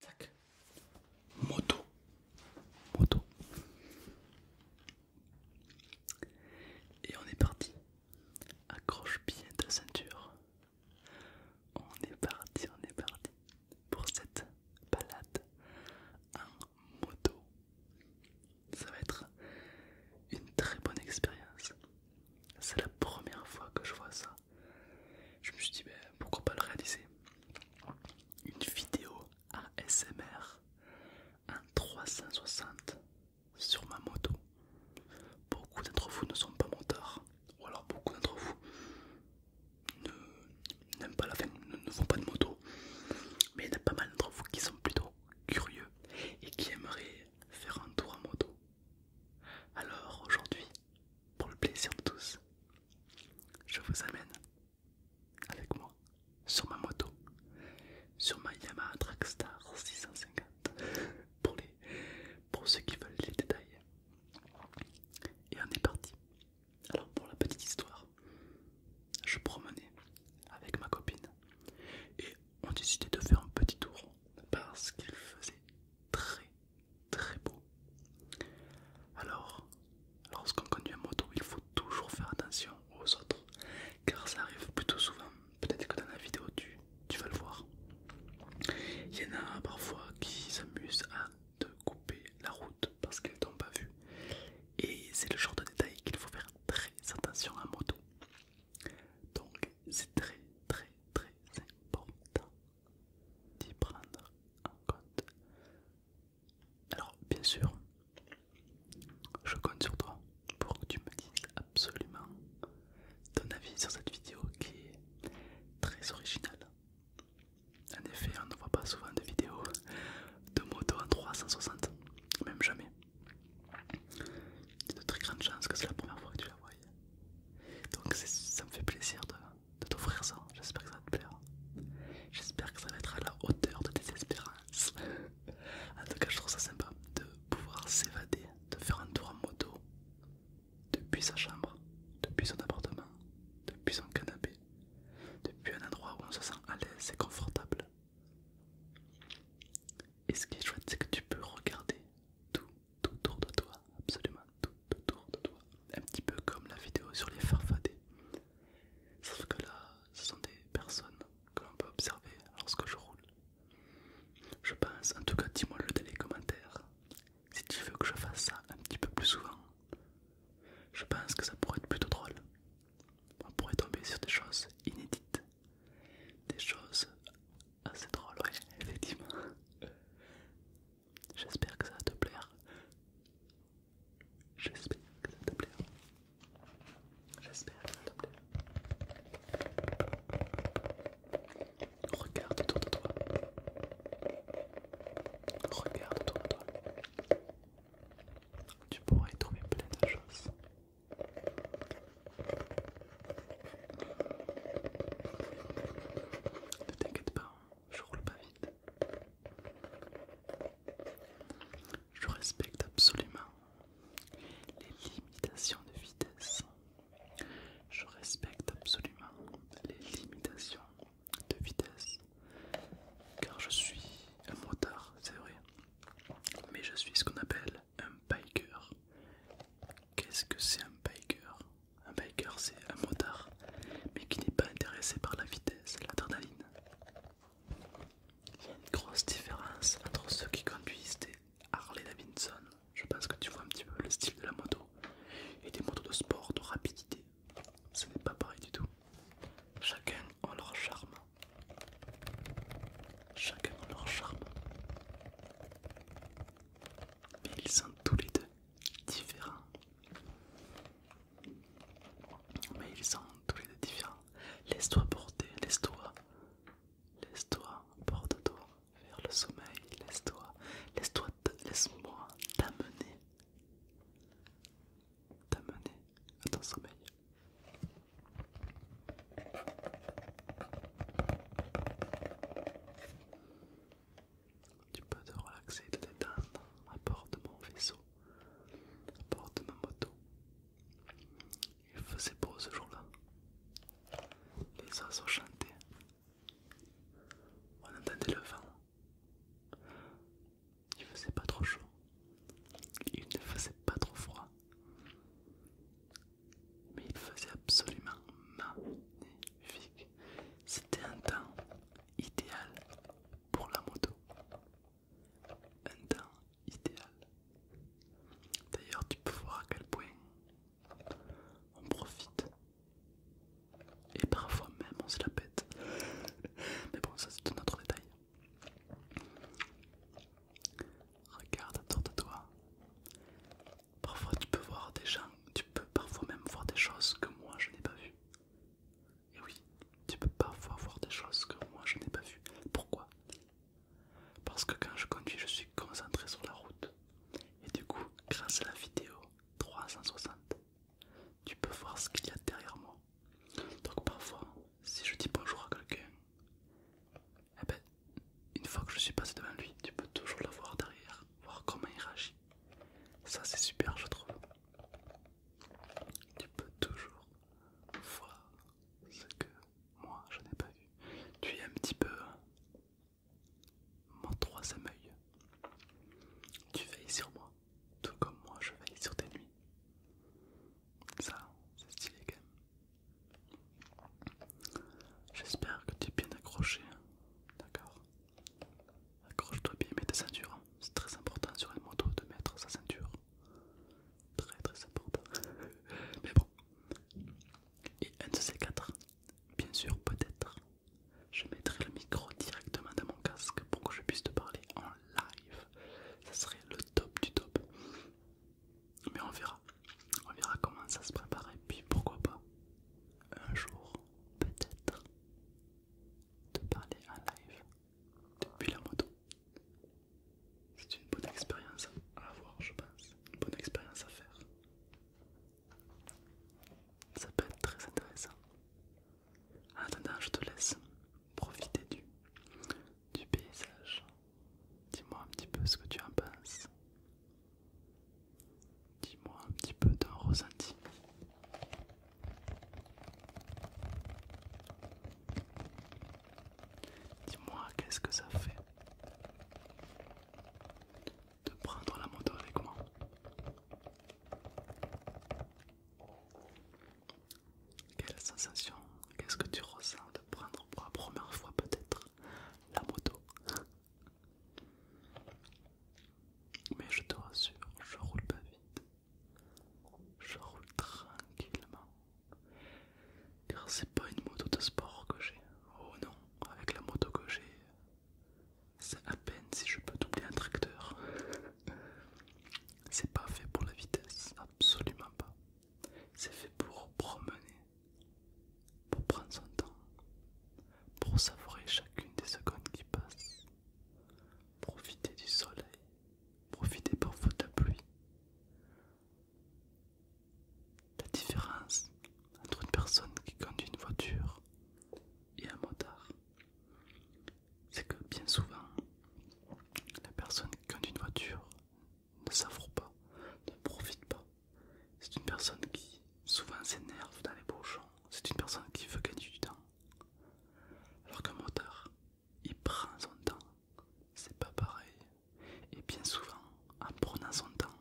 Tac. Moto. Moto. Et on est parti. Accroche bien ta ceinture. On est parti, on est parti pour cette balade en moto. Ça va être une très bonne expérience. C'est la première fois que je vois ça je me suis dit, ben, pourquoi pas le réaliser Une vidéo ASMR en 360 sur ma moto. Beaucoup d'entre vous ne sont pas motards, ou alors beaucoup d'entre vous pas la ne, ne font pas de moto, mais il y en a pas mal d'entre vous qui sont plutôt curieux et qui aimeraient faire un tour en moto. Alors aujourd'hui, pour le plaisir de tous, je vous amène avec moi sur ma moto, sur ma Yamaha Trackstar 650 pour, les, pour ceux qui veulent les détails. Et on est parti. Alors pour la petite histoire, je promenais avec ma copine et on décidait de faire un petit tour parce qu'il faisait très très beau. Alors, lorsqu'on conduit en moto, il faut toujours faire attention aux autres, car ça arrive plutôt souvent. Peut-être que dans la vidéo, tu, tu vas le voir. Il y en a parfois qui s'amusent à te couper la route parce qu'ils t'ont pas vu. Et c'est le genre de détail qu'il faut faire très attention à moto. Donc c'est très très très important d'y prendre en compte. Alors, bien sûr, je compte sur toi pour que tu me dises absolument ton avis sur cette vidéo qui est très originale. En effet, on ne voit pas souvent de vidéos de moto en 360, même jamais. Il y a de très grandes chances que c'est la première fois que tu la vois. Donc ça me fait plaisir de, de t'offrir ça. J'espère que ça va te plaire. J'espère que ça va être à la hauteur de tes espérances. en tout cas, je trouve ça sympa de pouvoir s'évader, de faire un tour en moto depuis sa chambre, depuis son appartement, depuis son canapé, depuis un endroit où on se sent à l'aise et confortable. Et ce qui est chouette, c'est que tu peux regarder tout, tout autour de toi, absolument tout autour de toi, un petit peu comme la vidéo sur les farfadets. Sauf que là, ce sont des personnes que l'on peut observer lorsque je roule. Je pense, en tout cas, dis-moi le dans les commentaires si tu veux que je fasse ça un petit peu plus souvent. Je pense que ça pourrait être plutôt drôle. On pourrait tomber sur des choses inédites, des choses assez drôles, ouais, effectivement. J'espère que ça va te plaire. J'espère que ça te plaire. J'espère que ça te plaire. Regarde autour de toi. Regarde autour de toi. Tu pourras y trouver plein de choses. Ne t'inquiète pas, hein. je roule pas vite. Je respecte absolument les limitations de vitesse. Je respecte absolument les limitations de vitesse. Car je suis un motard, c'est vrai. Mais je suis ce qu'on appelle un biker. Qu'est-ce que c'est un biker un biker, c'est un motard, mais qui n'est pas intéressé par la vitesse la l'adrénaline. Il y a une grosse différence entre ceux qui conduisent des Harley Davidson, je pense que tu vois un petit peu le style de la moto, et des motos de sport, de rapidité. Ce n'est pas pareil du tout. Chacun a leur charme. Chacun a leur charme. Mais ils sont tous les deux différents. Mais ils sont tous les deux différents. Laisse-toi porter, laisse-toi. Laisse-toi, porte-toi vers le sommeil, laisse-toi, laisse-toi, laisse-moi t'amener. T'amener à ton sommeil. Tu peux te relaxer, te détendre à bord de mon vaisseau, à bord de ma moto. Il faisait beau ce jour-là. Les oiseaux chantaient. On entendait le vent. Il faisait pas trop chaud. Il ne faisait pas trop froid. Mais il faisait absolument magnifique. C'était un temps idéal pour la moto. Un temps idéal. D'ailleurs, tu peux voir à quel point on profite. Et parfois même on se la pète. Mais bon, ça c'est un autre détail. Regarde autour de toi. Parfois tu peux voir des gens, tu peux parfois même voir des choses que moi je n'ai pas vues. Et oui, tu peux parfois voir des choses que moi je n'ai pas vues. Pourquoi Parce que quand je conduis, je suis concentré sur la route. Et du coup, grâce à la vidéo 360, tu peux voir ce qu'il y a derrière moi. Donc parfois, si je dis bonjour à quelqu'un, eh ben, une fois que je suis passé devant lui, tu peux toujours le voir derrière, voir comment il réagit. Ça c'est super je trouve. Tu peux toujours voir ce que moi je n'ai pas vu. Tu es un petit peu mon troisième œil. Tu veilles sur moi, tout comme moi je veille sur tes nuits. Ça, c'est stylé quand même. J'espère que tu es bien accroché, d'accord je dois bien, mettre des ceinture. C'est très important sur une moto de mettre sa ceinture. Très très important. Mais bon. Et un de ces quatre, bien sûr, peut-être, je mettrai le micro directement dans mon casque pour que je puisse te parler en live. Ça serait le top du top. Mais on verra. On verra comment ça se prépare et puis pourquoi pas. Un jour, peut-être de parler en live depuis la moto. C'est une bonne expérience à avoir, je pense, une bonne expérience à faire. Ça peut être très intéressant. En attendant, je te laisse profiter du, du paysage. Dis-moi un petit peu ce que tu en penses. Dis-moi un petit peu d'un ressenti. Dis-moi qu'est-ce que ça fait de prendre la moto avec moi. Quelle sensation, qu'est-ce que tu ressens de prendre pour la première fois peut-être la moto mais je te rassure, je roule pas vite. Je roule tranquillement. Car c'est pas une moto de sport que j'ai. Oh non, avec la moto que j'ai, c'est à peine si je peux doubler un tracteur. c'est pas fait pour la vitesse, absolument pas. C'est fait pour promener, pour prendre son temps, pour savourer chacune des secondes qui passent. profiter du soleil, profiter parfois de la pluie. La différence entre une personne qui conduit une voiture et un motard, c'est que bien souvent, la personne qui conduit une voiture ne savoure pas, ne profite pas. C'est une personne qui souvent s'énerve dans les bouchons. C'est une personne qui veut gagner du temps. Alors qu'un moteur, il prend son temps. C'est pas pareil. Et bien souvent, en prenant son temps,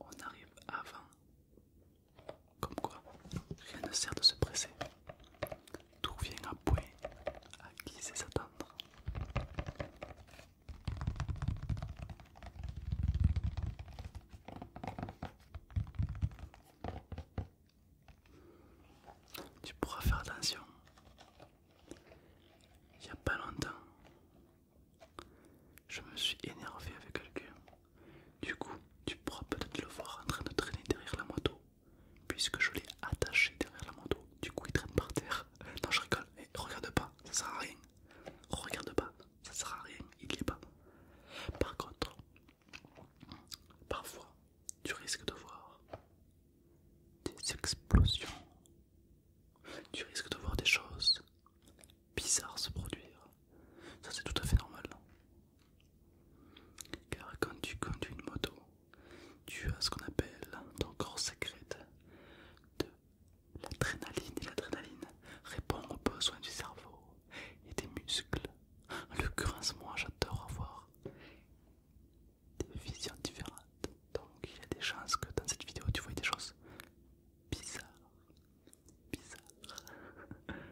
on arrive avant. Comme quoi, rien ne sert de se presser. Tout vient à point, à glisser s'attendre. Tu pourras faire attention. Il n'y a pas longtemps, je me suis énervé avec quelqu'un. Du coup, tu pourras peut-être le voir en train de traîner derrière la moto, puisque je l'ai attaché derrière la moto. Du coup, il traîne par terre. Non, je rigole. Eh, regarde pas, ça sert à rien. Regarde pas ça sert à rien, il n'y est pas. Par contre, parfois tu risques de voir des explosions, tu risques de voir des choses bizarres se produire. Ça c'est tout à fait normal. Car quand tu conduis une moto, tu as ce qu'on appelle ton corps secret de l'adrénaline et l'adrénaline répond aux besoins du cerveau et des muscles. Le moi j'adore avoir des visions différentes. Donc il y a des chances que dans cette vidéo tu vois des choses bizarres. Bizarres.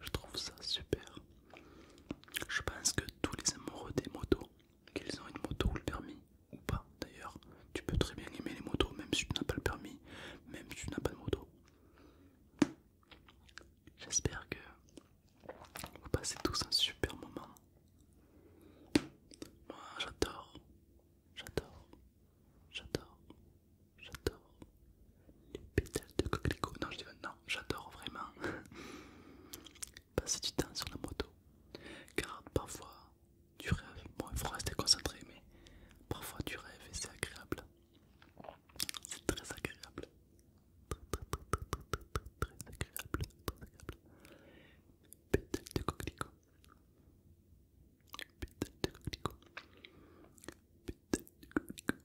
Je trouve ça super. Je pense que tous les amoureux des motos, qu'ils ont une moto ou le permis, ou pas d'ailleurs, tu peux très bien aimer les motos, même si tu n'as pas le permis, même si tu n'as pas de moto. J'espère que vous passez tous un super moment. Moi j'adore, j'adore, j'adore, j'adore, les pétales de coquelicot. Non, non, j'adore vraiment passer du temps sur la moto. Car parfois tu rêves, bon, il faut rester concentré, mais parfois tu rêves et c'est agréable. C'est très agréable. Très, agréable. Très agréable. Pétales de coquelicot. Pétales de coquelicot. Pétales de coquelicot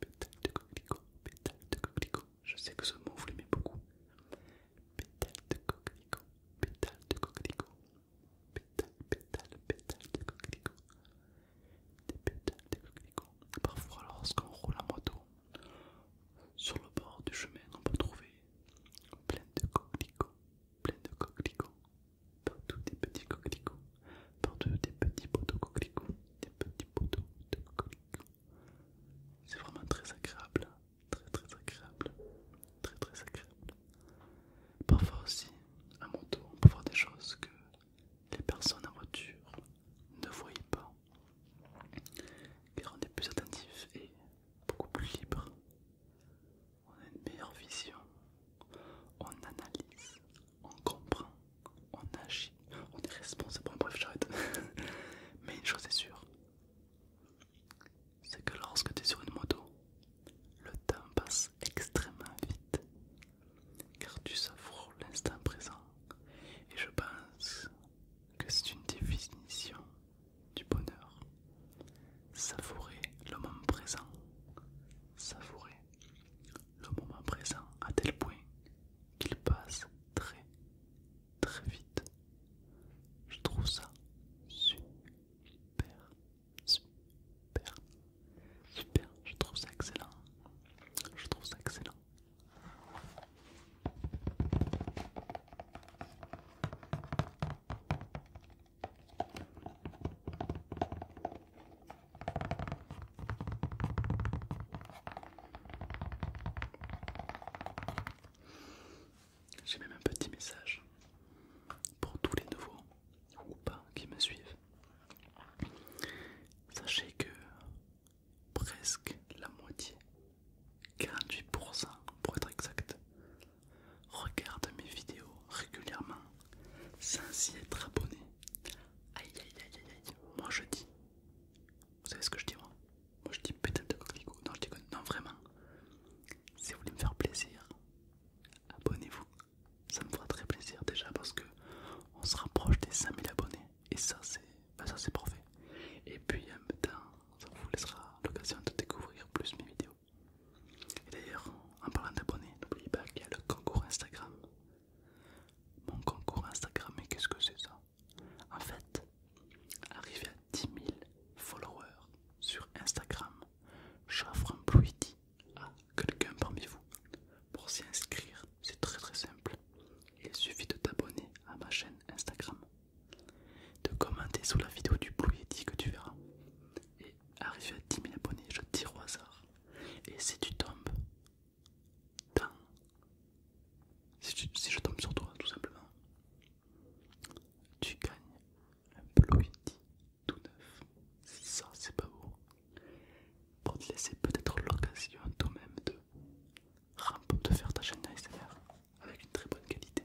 pétale de coquelicot, pétale de coquelicot. Je sais que ce mot vous l'aimez beaucoup. Pétale de coquelicot, pétale de coquelicot. Pétale, pétale, pétale de coquelicot. Des pétales de coquelicot. Parfois, lorsqu'on roule à moto, sur le bord du chemin, on peut trouver plein de coquelicots, plein de coquelicots, partout des petits coquelicots, partout des petits poteaux coquelicots, des petits poteaux de coquelicots. C'est vraiment très agréable, hein. très très agréable, très très agréable. Parfois aussi, à mon tour, on peut voir des choses que les personnes en voiture ne voyaient pas, car on est plus attentif et beaucoup plus libre. On a une meilleure vision, on analyse, on comprend, on agit, on est responsable. bref, j'arrête. Mais une chose est sûre, c'est que lorsque tu es sur une moto, le temps passe extrêmement vite, car tu savoures l'instant présent. Et je pense que c'est une définition du bonheur. Savourer le moment présent, savourer le moment présent à tel point qu'il passe très très vite. Je trouve ça super, super, super. Je trouve ça excellent. Je trouve ça excellent. J'ai même un petit message pour tous les nouveaux ou pas qui me suivent. Sachez que presque la moitié, 48% pour être exact, regarde mes vidéos régulièrement sans y être abonné Aïe aïe aïe aïe aïe. Moi je dis. Vous savez ce que je dis moi Moi je dis peut de Non, je déconne. Non, vraiment. Si vous voulez me faire plaisir, abonnez-vous. Ça me fera très plaisir déjà parce que on se rapproche des 5000 abonnés. Et ça c'est pas bah, ça c'est parfait. Et puis en même temps, ça vous laissera l'occasion de découvrir plus mes vidéos. Et d'ailleurs, en parlant d'abonnés, n'oubliez pas qu'il y a le concours Instagram mon concours Instagram, et qu'est-ce que c'est ça En fait, arrivé à 10 000 followers sur Instagram, j'offre un Yeti à quelqu'un parmi vous. Pour s'y inscrire, c'est très très simple. Il suffit de t'abonner à ma chaîne Instagram, de commenter sous la vidéo du Yeti que tu verras. Et arrivé à 10 000 abonnés, je tire au hasard. Et si tu tombes si, je tombe sur toi tout simplement tu gagnes un Ploïdi tout neuf si ça c'est pas beau pour te laisser peut-être l'occasion toi-même de faire ta chaîne ASMR avec une très bonne qualité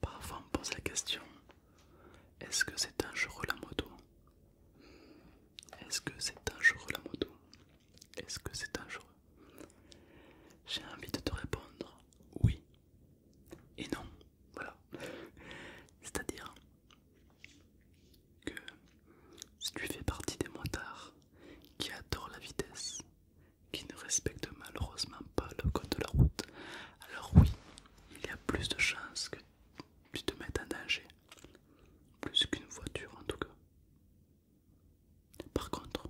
Parfois on pose la question, est-ce que c'est un dangereux la moto est-ce que c'est dangereux la moto Est-ce que c'est dangereux J'ai envie de te répondre oui et non. Voilà. C'est-à-dire que si tu fais partie des motards qui adorent la vitesse, qui ne respectent malheureusement pas le code de la route, alors oui, il y a plus de chances que tu te mettes en danger. Plus qu'une voiture en tout cas. Par contre,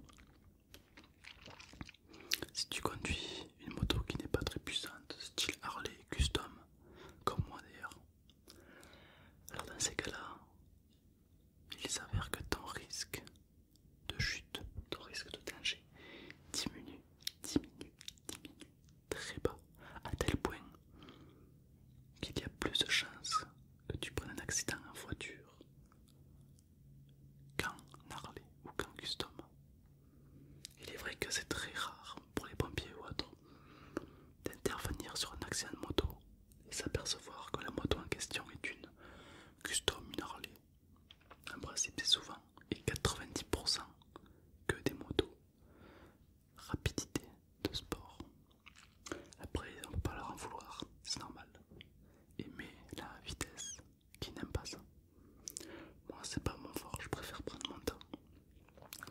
si tu conduis une moto qui n'est pas très puissante, style Harley Custom, comme moi d'ailleurs, alors dans ces cas-là, il s'avère que ton risque de chute, ton risque de danger diminue, diminue, diminue très bas, à tel point qu'il y a plus de chances que tu prennes un accident en voiture qu'en Harley ou qu'en Custom. Il est vrai que c'est très rare pour les pompiers ou autres d'intervenir sur un accident de moto et s'apercevoir que la moto en question est une Custom, une Harley. En principe, c'est souvent et 90% que des motos rapidité de sport. Après, on peut pas leur en vouloir, c'est normal. Aimer la vitesse, qui n'aime pas ça. Moi, c'est pas mon fort, je préfère prendre mon temps.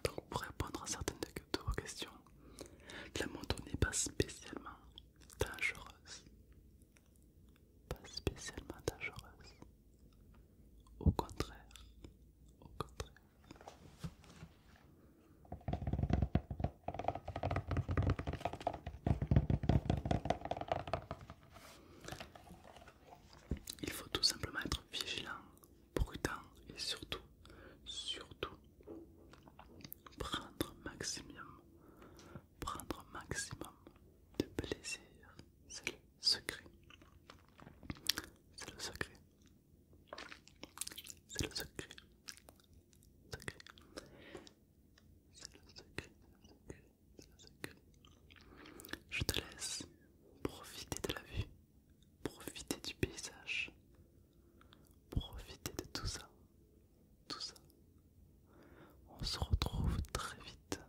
Donc, pour répondre à certaines de vos questions, la moto n'est pas spécialement dangereuse. Pas spécialement dangereuse. Au contraire, au contraire, il faut tout simplement être vigilant, prudent et surtout, surtout, prendre maximum, prendre maximum de plaisir. C'est le secret. C'est le secret. C'est le secret. C'est le secret, c'est le secret, Je te laisse profiter de la vue, profiter du paysage, profiter de tout ça, tout ça. On se retrouve très vite,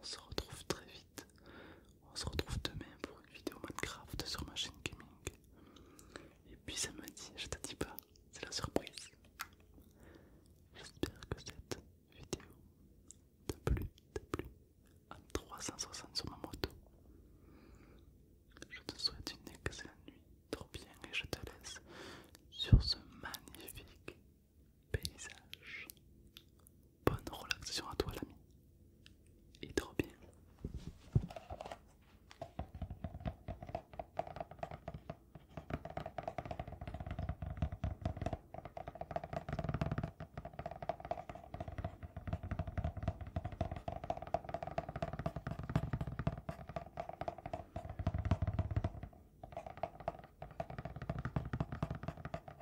on se retrouve très vite on se retrouve demain pour une vidéo Minecraft sur ma chaîne gaming. Et puis ça me dit, je te dis pas, c'est la surprise. J'espère que cette vidéo t'a plu, t'a plu. À 360 sur ma moto. Je te souhaite une excellente nuit, dors bien, et je te laisse sur ce magnifique paysage Bonne relaxation à toi l'ami. Et trop bien.